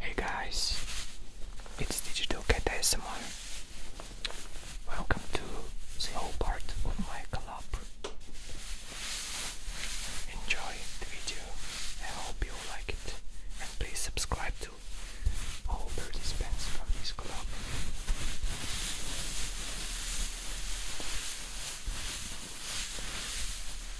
Hey guys, it's Digital Cat ASMR. Welcome to the whole part of my collab. Enjoy the video. I hope you like it. And please subscribe to all participants from this collab.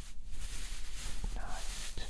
night. Relax.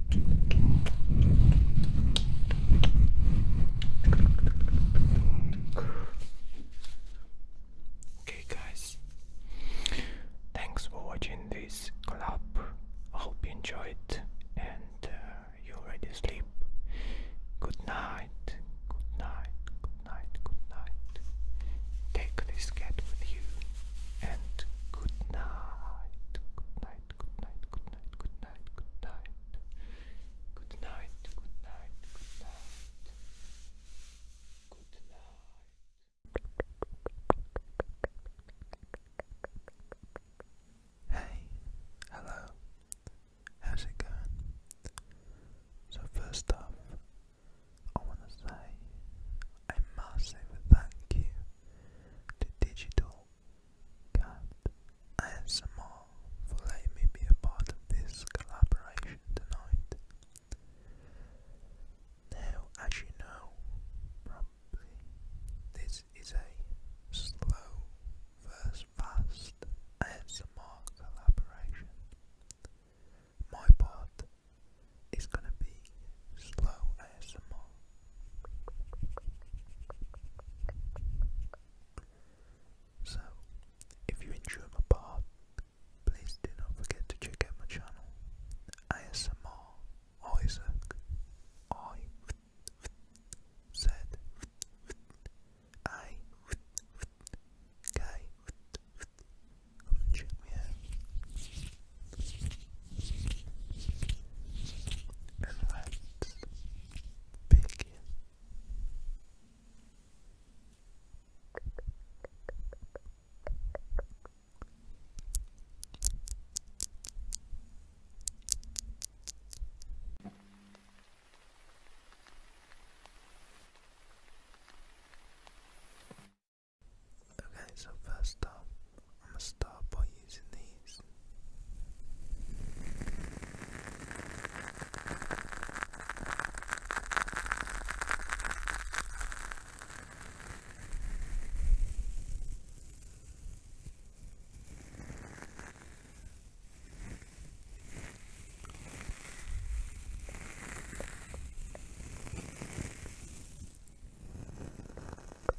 Okay, guys, thanks for watching this collab. I hope you enjoyed and uh, you already sleep. Good night, good night, good night, good night. Take this cat with you and good night, good night night, good night, good night, good night, good night. Good night, good night, good night. Good night. Hey, hello. How's it going? So first off, I want to say a massive thank you to Digital Cat ASMR for letting me be a part of this collaboration tonight. Now, as you know, this is a slow versus fast ASMR collaboration. My part is going to be slow ASMR so, if you enjoy my part, please do not forget to check out my channel ASMR Isaac I Z A K. Come and check me and let's begin. Okay, so first off, I'm gonna start by using these.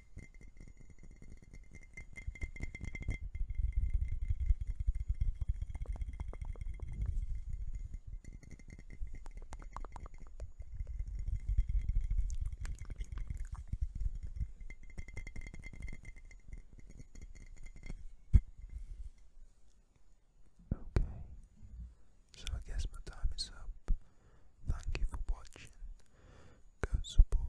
Okay, so I guess my time is up. Thank you for watching. Go support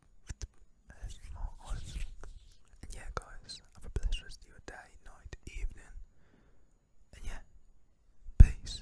and yeah, guys, have a blessed rest of your day, night, evening. And yeah, peace.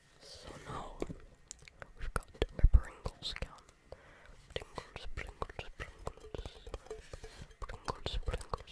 So now we've got a Pringles can. Pringles, Pringles, Pringles. Pringles, Pringles,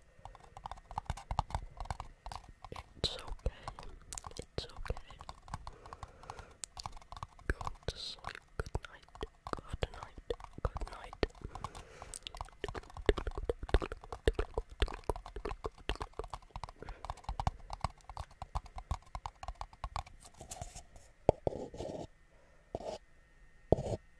It's okay. It's okay. Good night. Good night. Good night.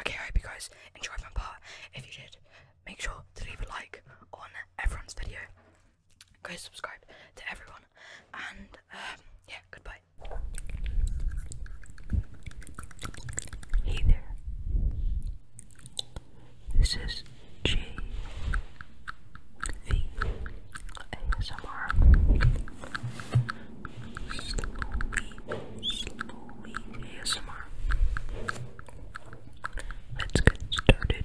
Okay, I hope you guys enjoyed my part. If you did, make sure to leave a like on everyone's video. Go subscribe to everyone. And um, yeah, goodbye. Hey there. This is J V slowly, slowly ASMR. Let's get started.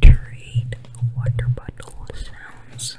Gatorade water bottle sounds.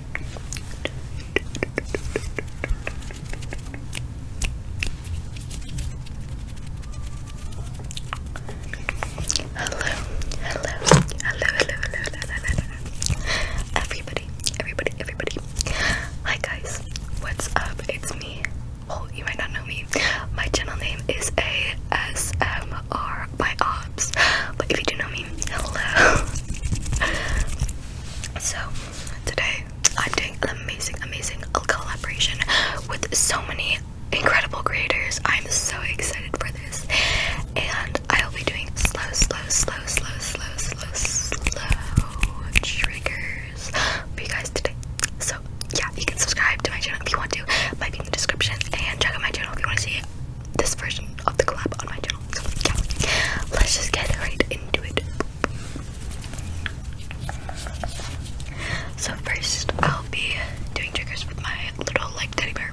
Hello, hello, hello, hello, hello, hello, hello, Everybody, everybody, everybody. Hi guys, what's up? It's me. Well, you might not know me. My channel name is ASMR by Obs. But if you do know me, hello. So today I'm doing an amazing, amazing collaboration with so many incredible creators. I'm so excited for this, and I'll be doing slow, slow, slow, slow, slow, slow, slow triggers for you guys today. So yeah, you can subscribe to my channel if you want to. It might be in the description, and check out my channel if you want to see this version of the collab on my channel. yeah, let's just get right into it. So first, I'll be doing tricks with my little like teddy bear.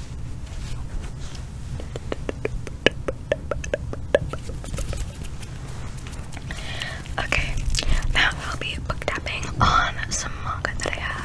Okay, now I'll be book tapping on some manga that I have.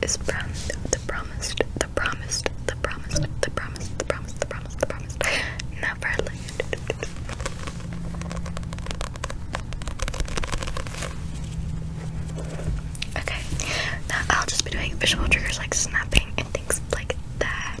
This is from the promised, the promised, the promised, the promised, the promised, the promised, the promised, the promised, the Never Okay, now I'll just be doing visual triggers like snapping and things like that.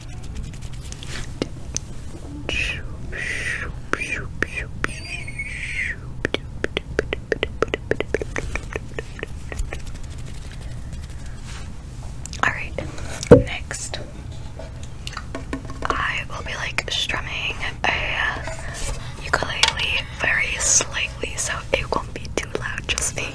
Alright, next I will be like strumming a ukulele very slightly so it won't be too loud, just me.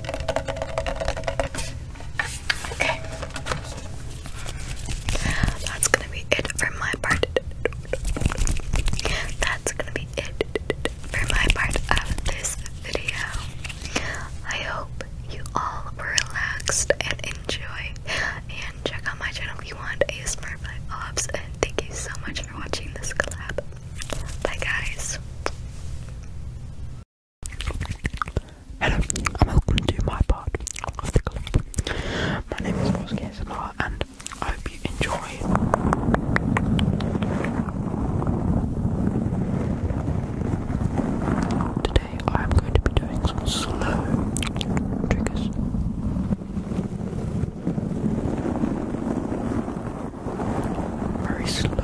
Okay. That's gonna be it for my part. That's gonna be it for my part of this video. I hope you all relaxed and enjoyed. And check out my channel if you want ASMR by Ops. And thank you so much for watching this collab. Bye, guys. Hello, and welcome to my part My name is Ross Kesmar, and I hope you enjoy. Today, I am going to be doing some slow triggers very slow.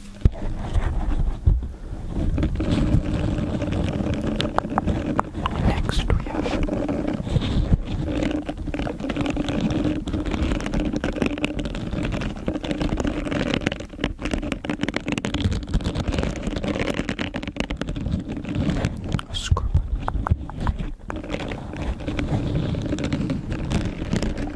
Next we have a screw.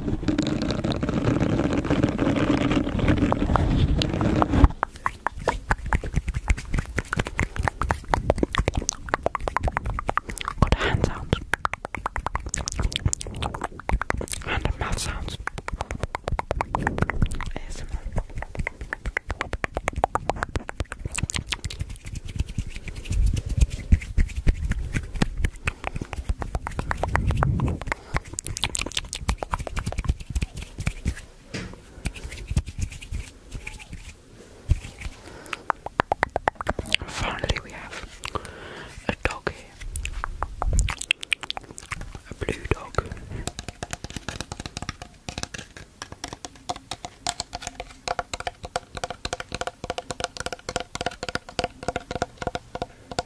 Got a hand sound and a mouth sound. ASMR. Finally, we have a dog here, a blue dog.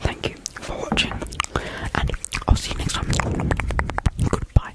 Thank you for watching, and I'll see you next time. Goodbye.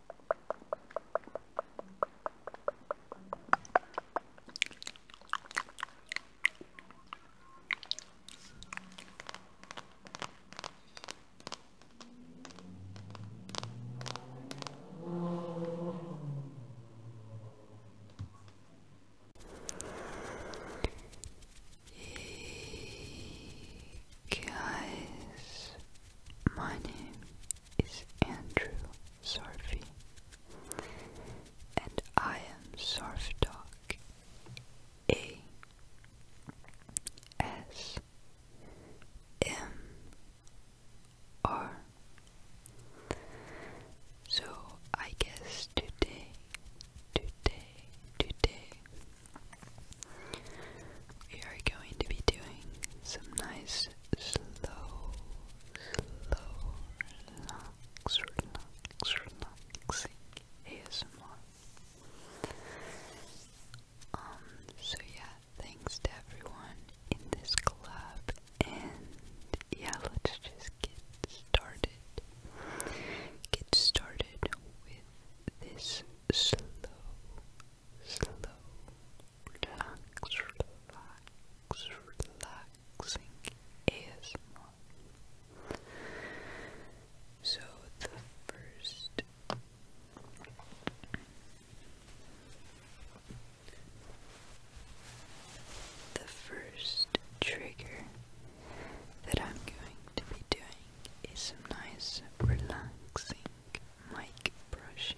Hey guys, my name is Andrew Sarfi, and I am Sarf Dog. A S M R. So I guess today, today, today, we are going to be doing some nice slow, slow, relax, relax, relaxing ASMR. Um, so yeah, thanks to everyone in this club, and yeah, let's just get started. Get started with this slow, slow, relaxing ASMR. So the first the first trigger that I'm going to be doing is some nice relaxing mic brushing.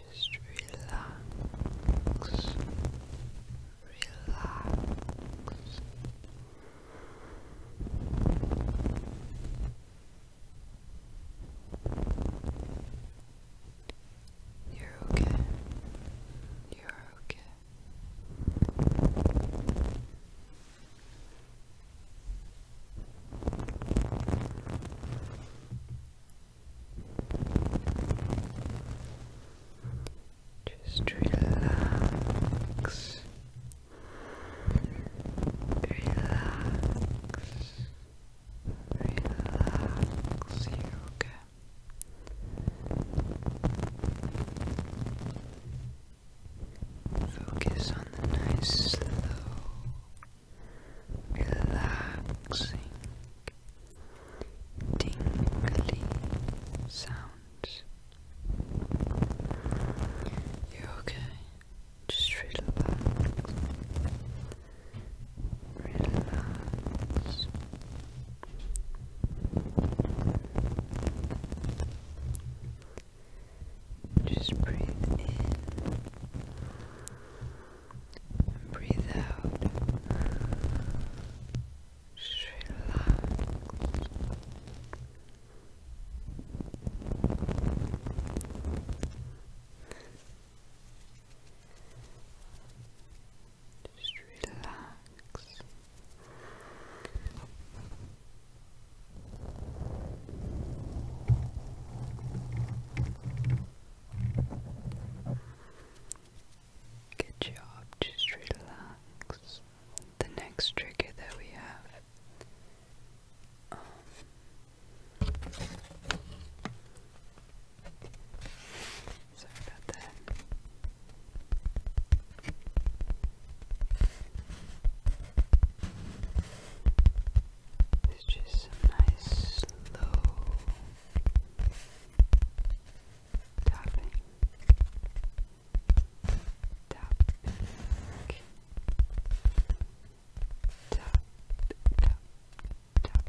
Just relax, relax. You're okay. You're okay. Just relax. Relax. Relax, yoga. Focus on the nice slow relaxing, tingly sounds. You're okay, just relax, relax. Just breathe in breathe out. Just relax. Just relax. Good job, just relax. The next trigger that we have. Um, sorry about that. It's just some nice slow tapping, tap, tap, tap, tap. Tap,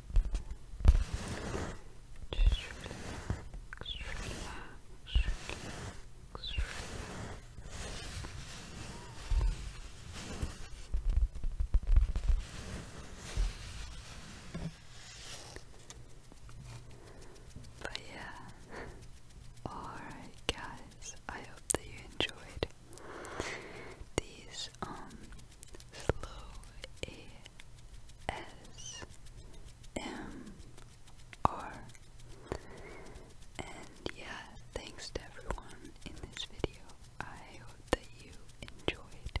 Just relax, relax, relax, relax. But yeah, alright guys, I hope that you enjoyed these is slow A S M R and yeah, thanks to everyone in this video. I hope that you enjoyed.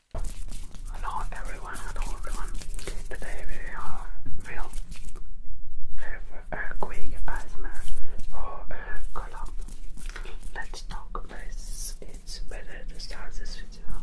Hello everyone, hello everyone. Today we will have a quick ASMR or a uh, collab. Let's talk this. It's better to start this video.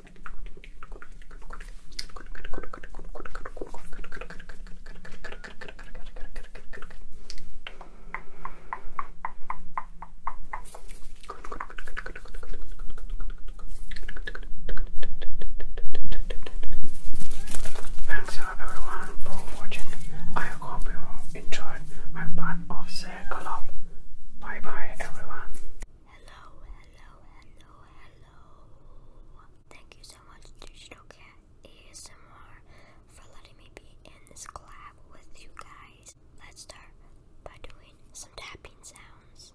Thanks everyone for watching. I hope you enjoyed my part of the collab. Bye bye everyone. Hello, hello, hello, hello. Thank you so much, Digital Cat ASMR, for letting me be in this collab with you guys. Let's start by doing some tapping sounds.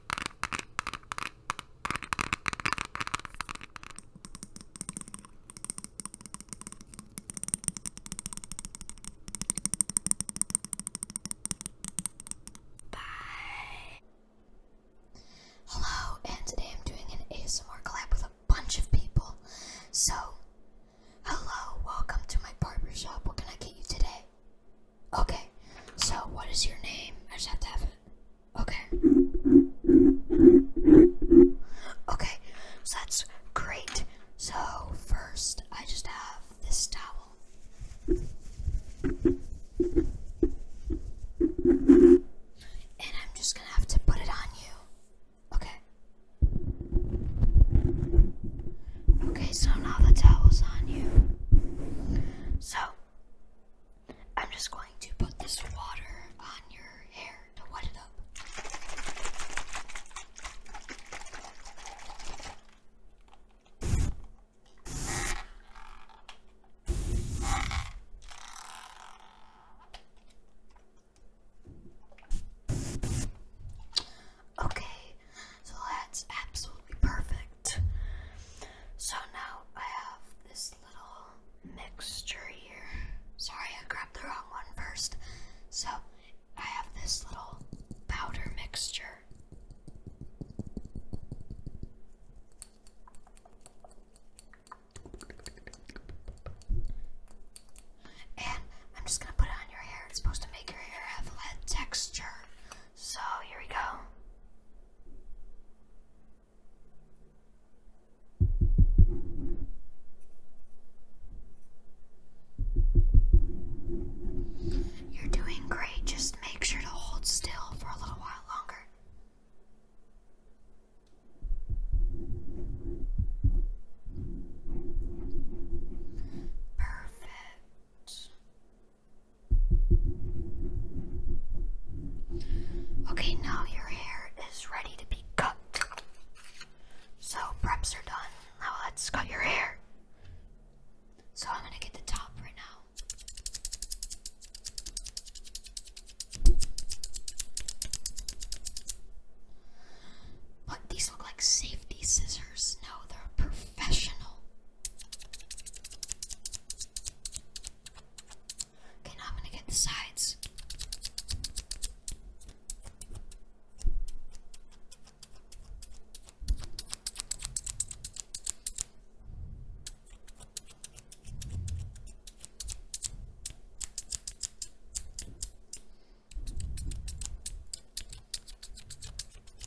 Bye. Hello, and today I'm doing an ASMR collab with a bunch of people. So, hello, welcome to my barber shop. What can I get you today? Okay, so what is your name? I just have to have it. Okay. Okay, so that's great. So, first, I just have this towel. And I'm just gonna have to put it on you. Okay. Okay, so now the towel's on you. So, I'm just going to put this water on your hair to wet it up. Okay, so that's absolutely perfect. So now I have this little mixture here. Sorry, I grabbed the wrong one first. So I have this little powder mixture. And I'm just gonna put it on your hair. It's supposed to make your hair have a texture. So here we go. You're doing great. Just make sure to hold still for a little while longer. Perfect. Okay, now your hair is ready to be cut. So preps are done. Now let's cut your hair. So I'm gonna get the top right now. But these look like safety scissors. No, they're professional. Okay, now I'm gonna get the sides.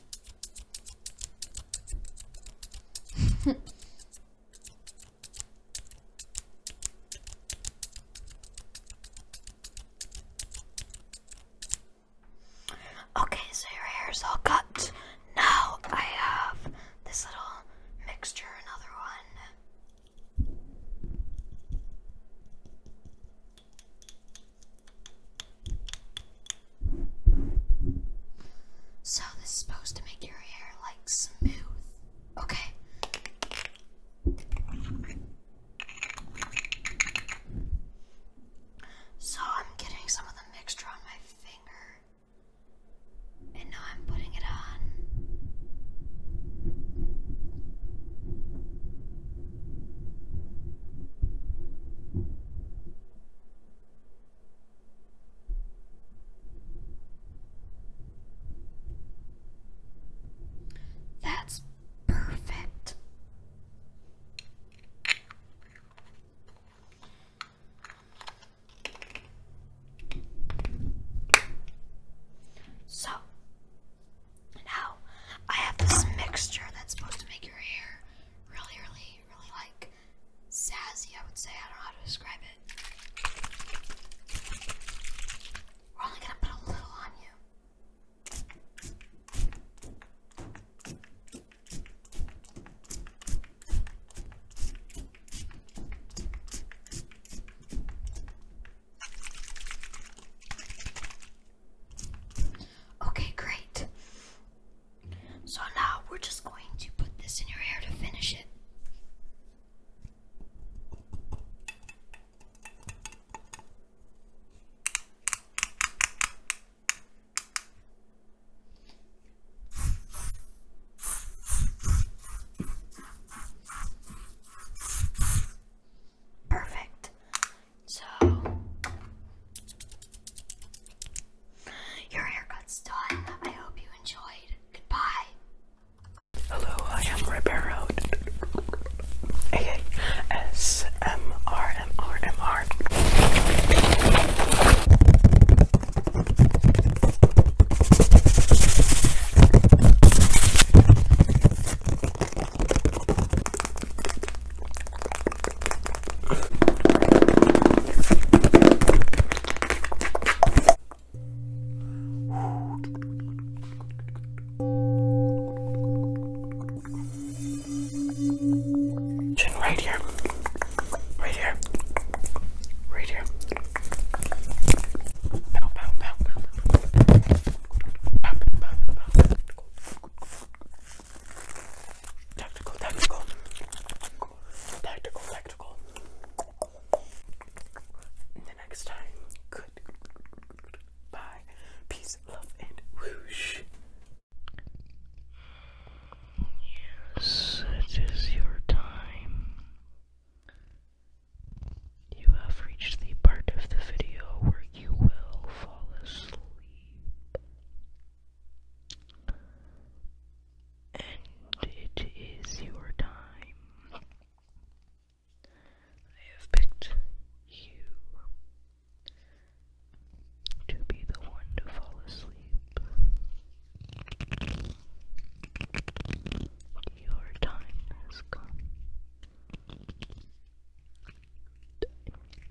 okay, so your hair's all cut. Now I have this little mixture, another one. So this is supposed to make your hair like smooth. Okay. So I'm getting some of the mixture on my finger. And now I'm putting it on. That's perfect. So now I have this mixture that's supposed to make your hair really, really, really like sassy, I would say. I don't know how to describe it. We're only gonna put a little on you. Okay, great. So now we're just going to put this in your hair to finish it. Perfect. So your haircut's done. I hope you enjoyed. Goodbye. Hello, I am Ribeiro. A S M R M R M R. Chin right here. Right here. Right here. Pow, pow, pow, pow. Pow, pow, pow, pow. Tactical, tactical. Tactical, tactical. The next time, good. Bye. Peace, love, and whoosh. Yes, it is your time. You have reached the part of the video where you will fall asleep. And it is your time. I have picked you to be the one to fall asleep. Your time has come.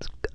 Time has come.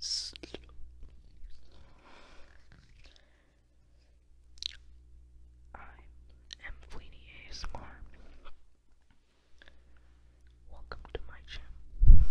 Slow. I am Fleeny ASMR. Welcome to my channel.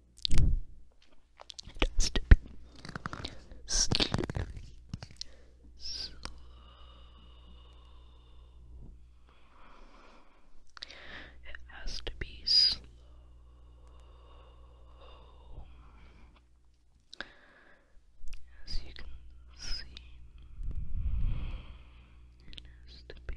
Just be slowly, It has to be slow. As you can see, it has to be.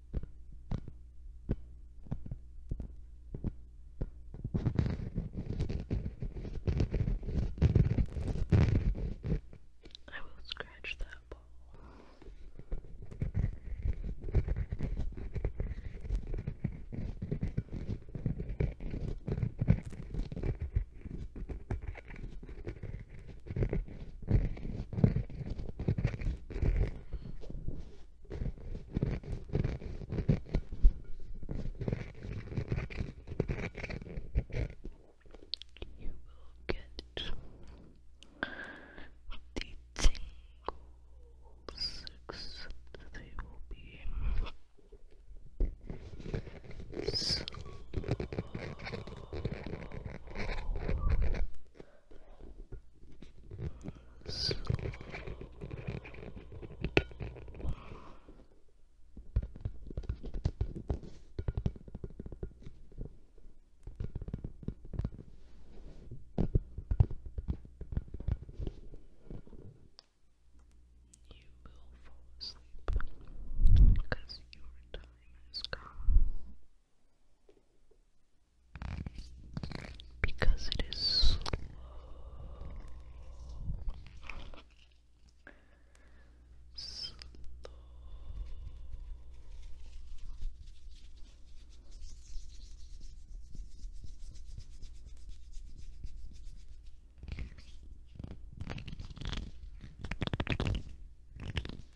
I will scratch that ball. You will get the tingles, except they will be slow slow. You will fall asleep because your time has come because it is slow.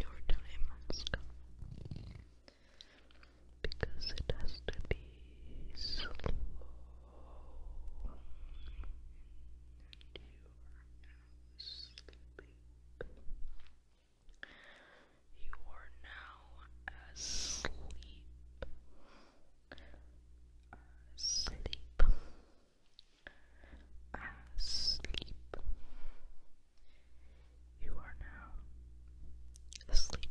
Your time has come because it has to be slow. you now sleeping. You are now asleep. Asleep. Asleep. You are now asleep.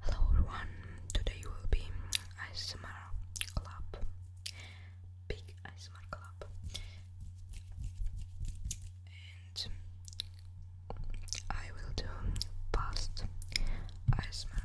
Hello everyone, today will be ASMR Club, big ASMR Club I will do past ASMR.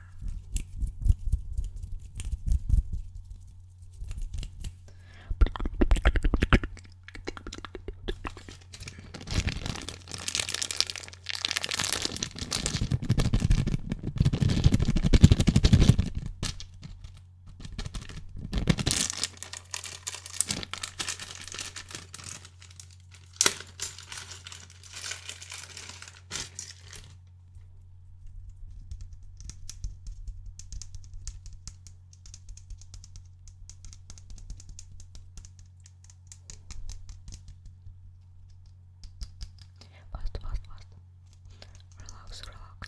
Fast, fast, fast. Relax, relax.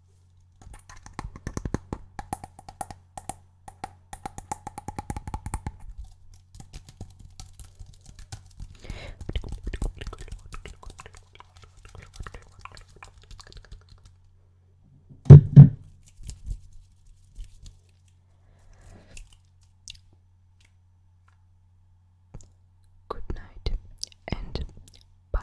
Good night and bye.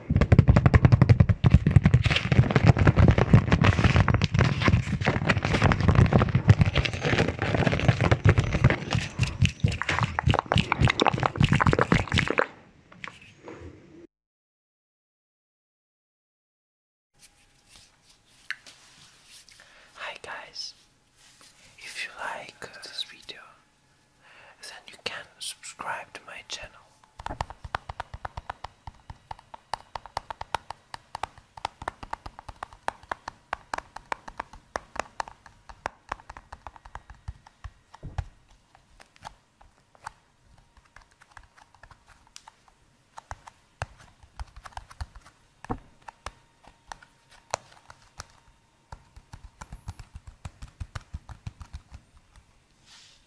Hi guys, if you like uh, this video, then you can subscribe to my channel.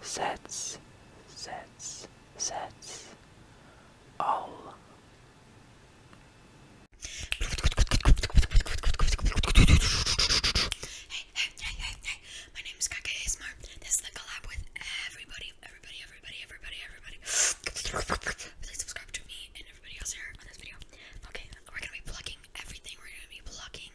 sets, sets, sets, all. Hey, hey, hey, hey, my name is Kaka ASMR. This is the collab with everybody, everybody, everybody, everybody, everybody. Please subscribe to me and everybody else here on this video. Okay, we're gonna be plucking everything. We're gonna be plucking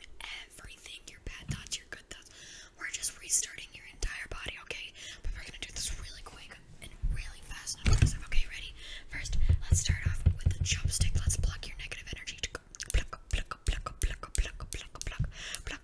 everything. Your bad thoughts, your good thoughts. We're just restarting your entire body, okay? But we're gonna do this really quick and really fast Okay, ready? First, let's start off with the chopstick. Let's pluck your negative energy. Pluck, pluck, pluck, pluck, pluck, pluck, pluck, pluck, pluck,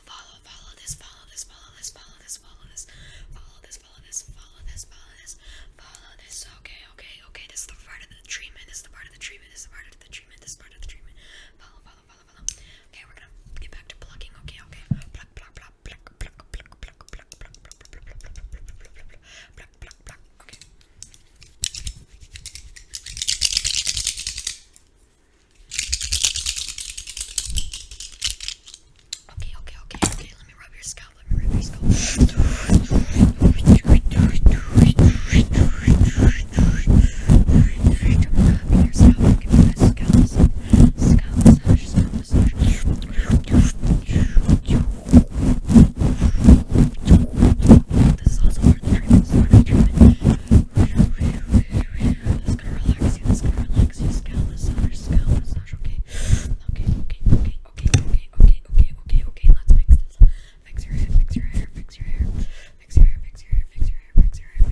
follow, follow, follow this, follow this, follow this, follow this, follow this, follow this, follow this, follow this, follow this, follow this. Okay, okay, okay. This is the part of the treatment. This is the part of the treatment. This is the part of the treatment. This is part of the treatment. Follow, follow, follow, follow. Okay, we're gonna get back to plucking. Okay, okay. Pluck, pluck, pluck, pluck, pluck, pluck, pluck, pluck, pluck, pluck, pluck, pluck, pluck, Okay. Okay, okay, okay, okay. Let me rub your scalp. Let me rub your scalp. Rub your scalp. Give me that scalp massage. Scalp massage. Scalp massage. This is also part of the treatment. This is part of the treatment. That's gonna relax you, that's gonna relax you. Scalp massage, scalp massage, okay? Okay, okay, okay, okay, okay, okay, okay, okay, okay, let's fix this. Fix your hair, fix your hair, fix your hair. Fix your hair, fix your hair, fix your hair, fix your hair,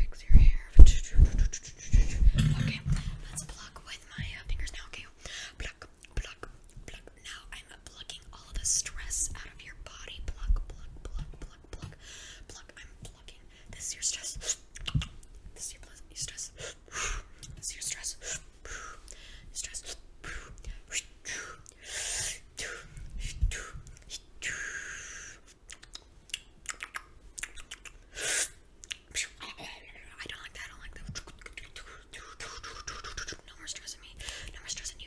fix your hair, fix your hair. Okay, let's pluck with my uh, fingers now, okay? Pluck, pluck, pluck. Now I'm plucking all the stress out of your body. Pluck, pluck, pluck, pluck, pluck, pluck. I'm plucking. This is your stress. This is your stress. This is your stress. Stress. I don't like that. I don't like that. No more stress on me. No more stress on you.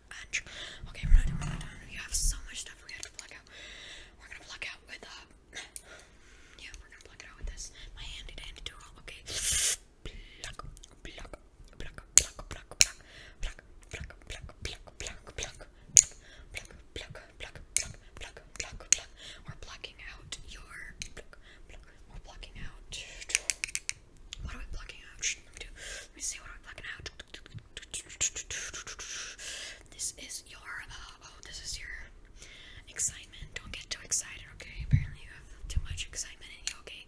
Okay, we're not doing that. have so much stuff we have to pluck out. We're gonna pluck with uh, yeah, we're gonna pluck with this. My handy dandy tool. Okay, pluck, pluck, pluck, pluck, pluck, pluck, pluck, pluck, pluck, pluck, pluck, pluck, We're plucking out your. Pluck, We're plucking out. What are we plucking out? Let me do. Let me see. What are we plucking out? This is your, uh, oh, this is your excitement. Don't get too excited, okay? Apparently you have too much excitement in you, okay?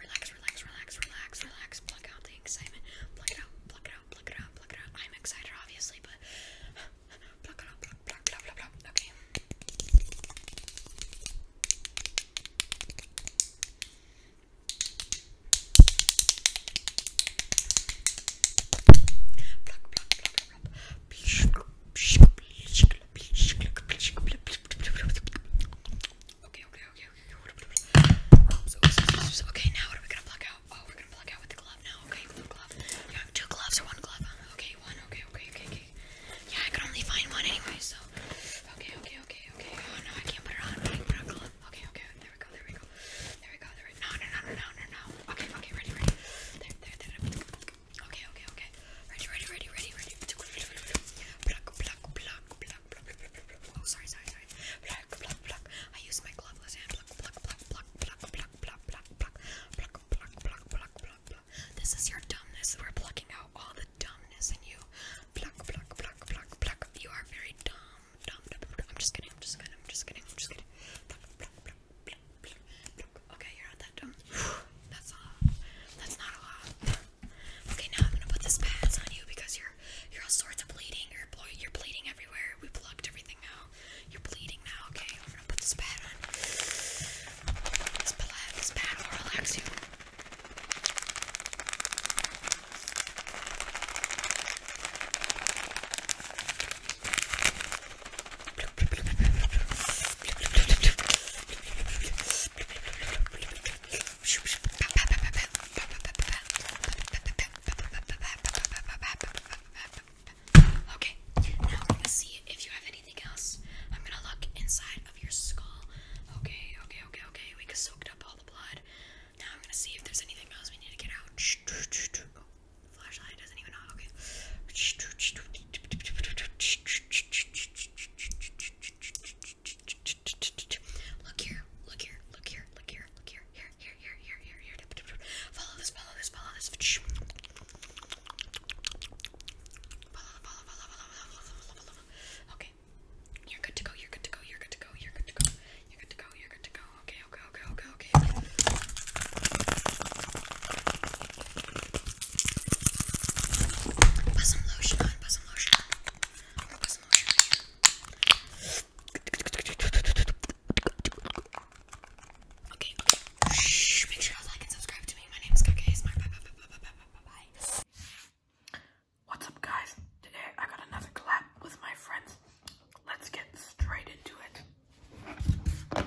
Relax, relax, relax, relax, relax. Pluck out the excitement. Pluck it out, pluck it out, pluck it out, pluck it out. I'm excited, obviously, but pluck it out, pluck, pluck, pluck, pluck, pluck. Okay. Okay, okay, okay, okay. So, so, so, so, okay, now what are we gonna pluck out? Oh, we're gonna pluck out with the glove now. Okay, glove, glove. You have two gloves or one glove? Okay, one. Okay, okay, okay, okay. Yeah, I could only find one anyway, so. Okay, okay, okay, okay. Oh no, I can't put it on. I can put on glove. Okay, okay, there we go, there we go. There we go, there we go. No, no, no, no, no, no. Okay, okay, ready, ready. There, there, there. Okay, okay, okay. Ready, ready, ready, ready, ready. Pluck, pluck, pluck, pluck, pluck, pluck. Oh, sorry, sorry, sorry. Pluck, pluck, pluck. I use my gloveless hand. Pluck, pluck, pluck, pluck, pluck, pluck, pluck, pluck, pluck, pluck, pluck, pluck, pluck, pluck, pluck. This is your dumbness. We're plucking out all the dumbness in you. Pluck, pluck, pluck, pluck, pluck. You are very dumb. I'm just kidding, I'm just kidding, I'm just kidding, I'm just kidding. Okay, you're not that dumb. That's not that's not a lot. Okay, now I'm gonna put this pads on you because you're you're all sorts of bleeding. You're you're bleeding everywhere. We plugged everything out. You're bleeding now. Okay, I'm gonna put this pad on. This pad, this pad will relax you. Okay, now we're gonna see if you have anything else. I'm gonna look inside of your skull. Okay, okay, okay, okay. We soaked up all the blood. Now I'm gonna see if there's anything else we need to get out. flashlight doesn't even Okay. Look here. Look here. Look here. Look here. Look here. Here. Here. Here. Here. Here. Follow this. Follow this. Follow this. Okay. You're good to go. You're good to go. You're good to go. You're good to go. You're good to go. You're good to go okay, okay, okay, okay, okay. Put some lotion on, put some lotion on. Put some lotion on here. Okay, okay. Shh, make sure you like and subscribe to me. My name is Cookies. Bye, bye, bye, bye, bye, bye, bye, bye. What's up, guys? Today I got another collab with my friends let's get straight into it.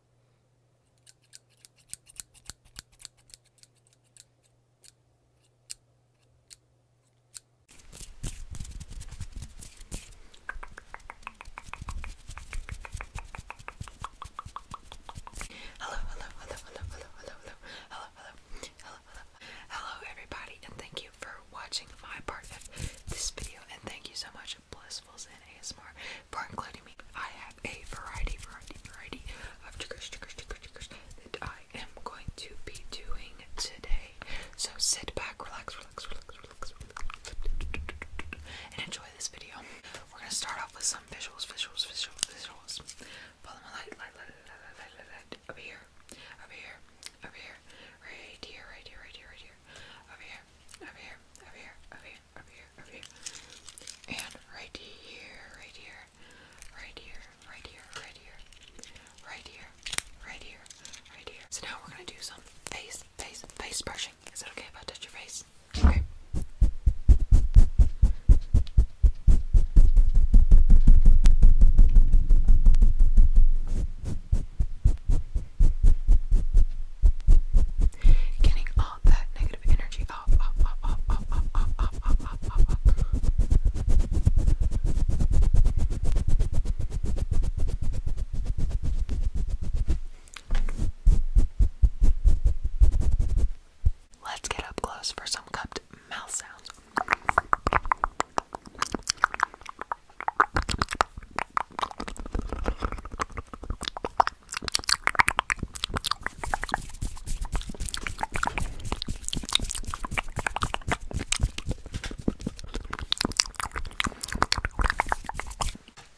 Hello, hello, hello, hello, hello, hello, hello, hello, hello, hello, hello, everybody, and thank you for watching my part of this video. And thank you so much blissful Zen ASMR for including me. I have a variety, variety, variety of triggers, triggers, triggers, triggers that I am going to be doing today. So sit back, relax, relax, relax, relax, relax, and enjoy this video. We're gonna start off with some visuals, visuals, visuals, visuals. Follow my light, light, light, light, light, light, light, light. Up here, up here, up here, right here, right here, right here, right here, over here, over here, over here, over here, over here, over here, and right here, right here, right here, right here, right here, right here, right here, So now we're gonna do some face, face, face brushing. Is it okay if I touch your face? Okay. Getting all that negative energy off, off, off, off, off, off, off, off, off, off, Let's get up close for some cupped mouth sounds.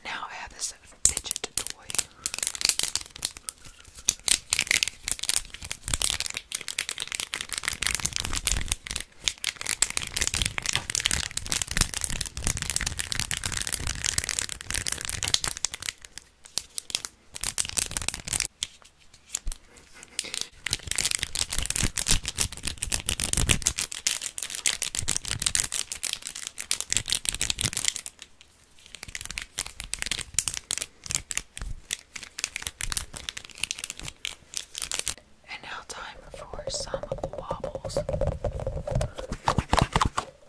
Now I have this fidget toy. And now, time for some wobbles.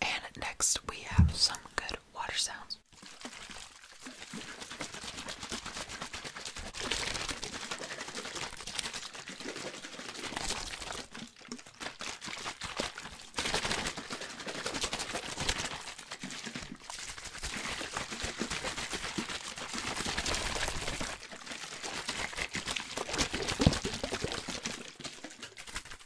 and next, we have some good water sounds.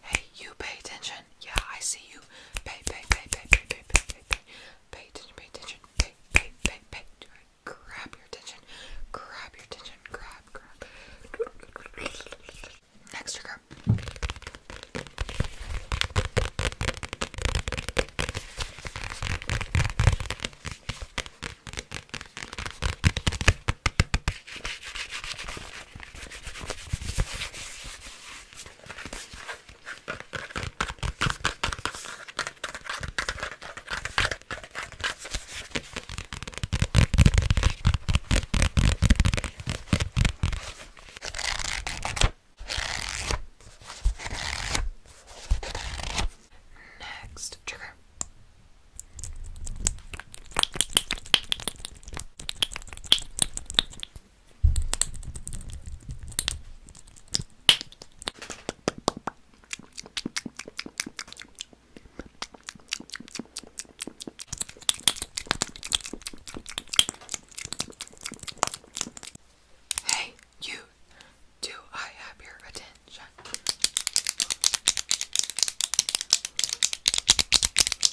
Hey, you pay attention. Yeah, I see you. Pay, pay, pay, pay, pay, pay, pay, pay, pay. Pay attention, pay attention. Pay, pay, pay, pay. Grab your attention. Grab your attention. Grab, grab. Next trigger. Next trigger. Hey, you, do I have your attention?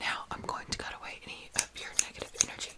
Now I'm going to cut away any of your negative energy.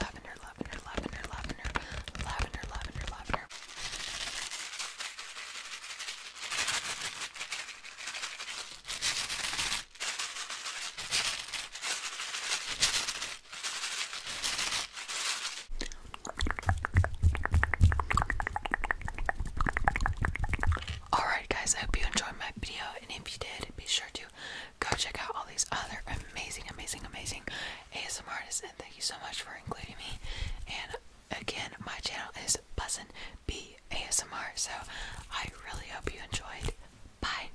Lavender, lavender, lavender, lavender, lavender, lavender, lavender. Alright guys, I hope you enjoyed my video and if you did, be sure to go check out all these other amazing, amazing, amazing ASMR artists. And thank you so much for including me. And again, my channel is Bussin B ASMR. So I really hope you enjoyed. Bye.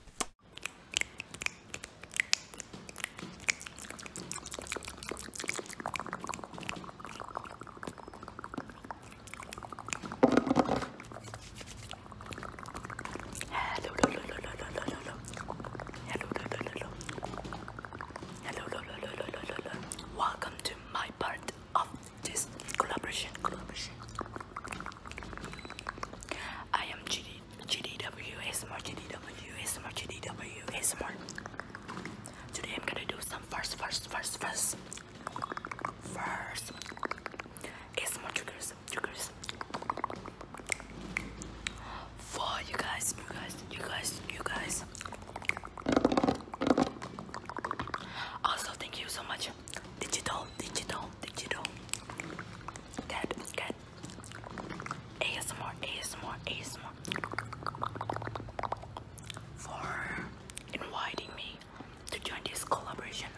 Hello, hello, hello, hello, hello. Hello, hello, hello. Hello, hello, hello, hello, hello. Welcome to my part of this collaboration. I am JD, GDW, ASMR, GDW, ASMR, GDW, ASMR. Today I'm gonna do some first, first, first, first, first ASMR triggers for you guys, you guys, you guys, you guys. Also, thank you so much, digital, digital, digital. Cat, cat. ASMR, ASMR, ASMR. For inviting me to join this collaboration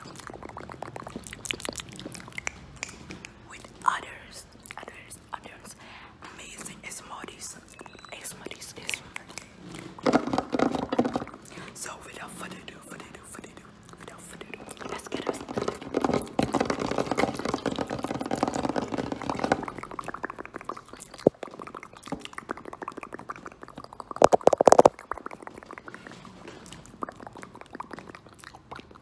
with others, others, others amazing smarties, smarties, So without further ado, further ado, further ado, without further ado, let's get us.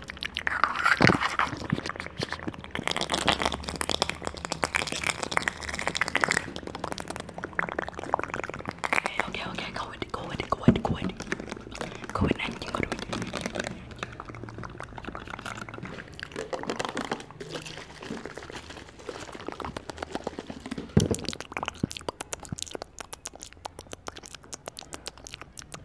Okay, okay, okay, go in, go in, go in, go in. Go in and you go to it.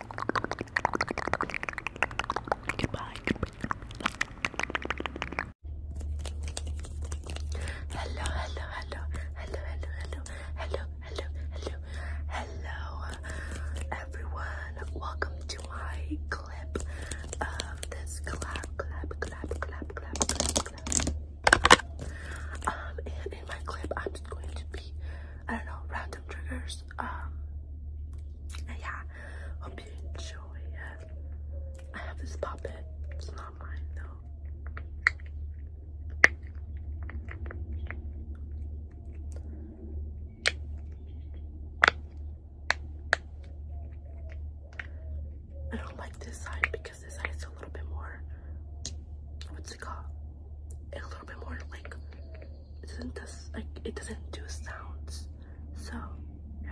Goodbye. Hello, hello, hello, hello, hello, hello, hello, hello, hello, everyone. Welcome to my clip Um, and in my clip, I'm just going to be I don't know, random triggers. Um, and yeah, hope you enjoy I have this puppet, it's not mine though. I don't like this side because this side is a little bit more, what's it called? A little bit more like it doesn't does like it doesn't do sounds. So yeah.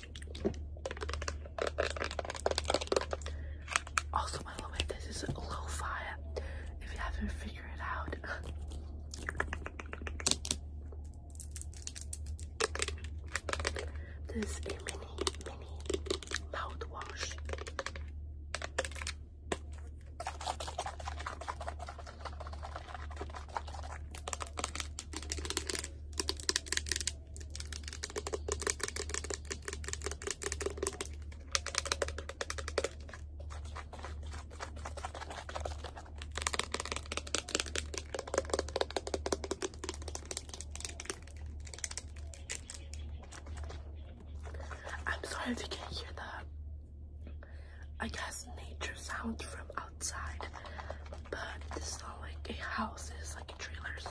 Also, by the way, this is low fire. If you haven't figured it out. This is a mini, mini mouthwash. I'm sorry if you can hear the, I guess, nature sound from outside, but it's not like a house, it's like a trailer, so.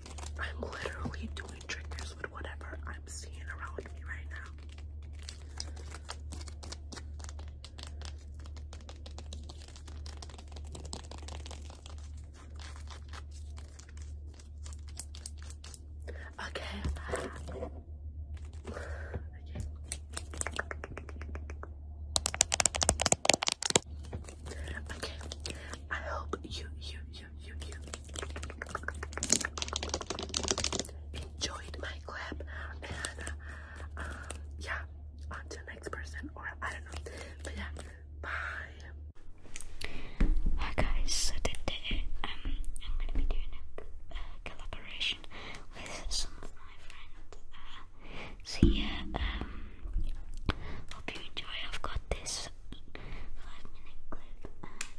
I'm literally doing tricks with whatever I'm seeing around me right now. Okay. okay. Okay. I hope you you you, enjoyed my clip, and uh, um, yeah, on to next person, or I don't know, but yeah, bye. Hi guys, so today um, I'm gonna be doing a uh, collaboration with some of my friends. Uh, so yeah, um, hope you enjoy. I've got this five minute clip.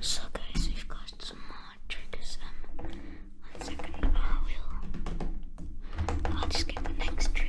So guys, we've got some more triggers. Um, one second, I will. I'll just get the next trigger.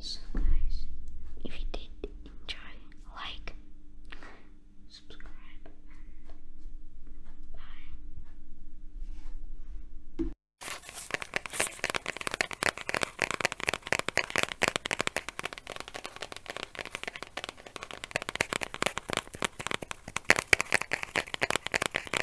So guys, if you did enjoy, like, subscribe, and bye.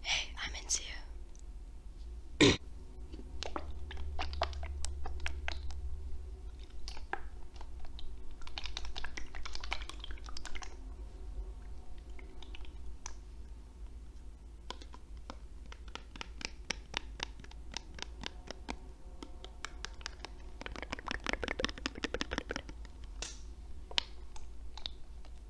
Hey, I'm into you.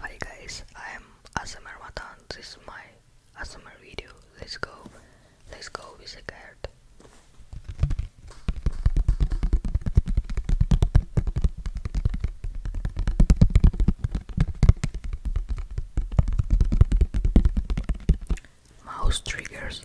Hi guys, I am Asamar Watan. This is my Asamar video. Let's go. Let's go with a cat it. Mouse triggers.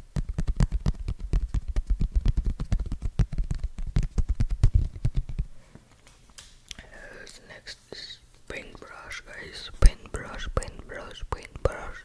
Here's next paintbrush, guys. Paintbrush, paintbrush, paintbrush.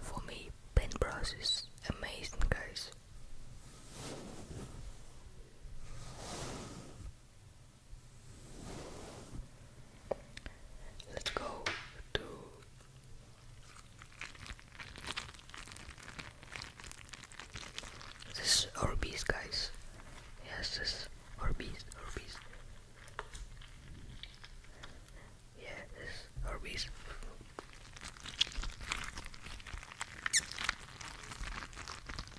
For me, paintbrush is amazing, guys. Let's go to this is Orbeez, guys. Yes, this Orbeez, Orbeez. Yeah, Orbeez.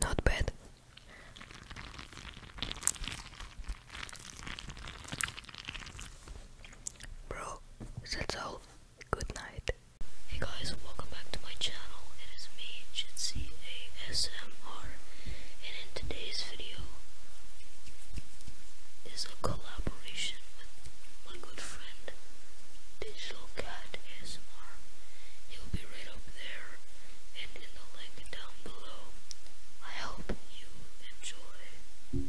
Not bad. Bro, that's all. Good night. Hey guys, welcome back to my channel. It is me, Jitsi and in today's video is a collaboration with my good friend Digital Cat ASMR. He'll be right up there and in the link down below. I hope you enjoy.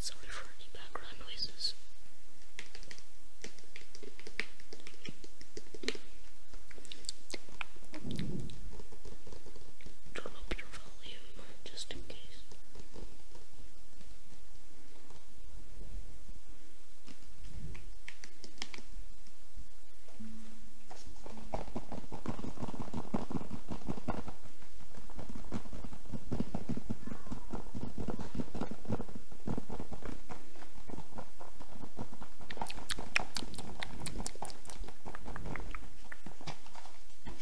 Sorry for any background noises. Turn up your volume just in case.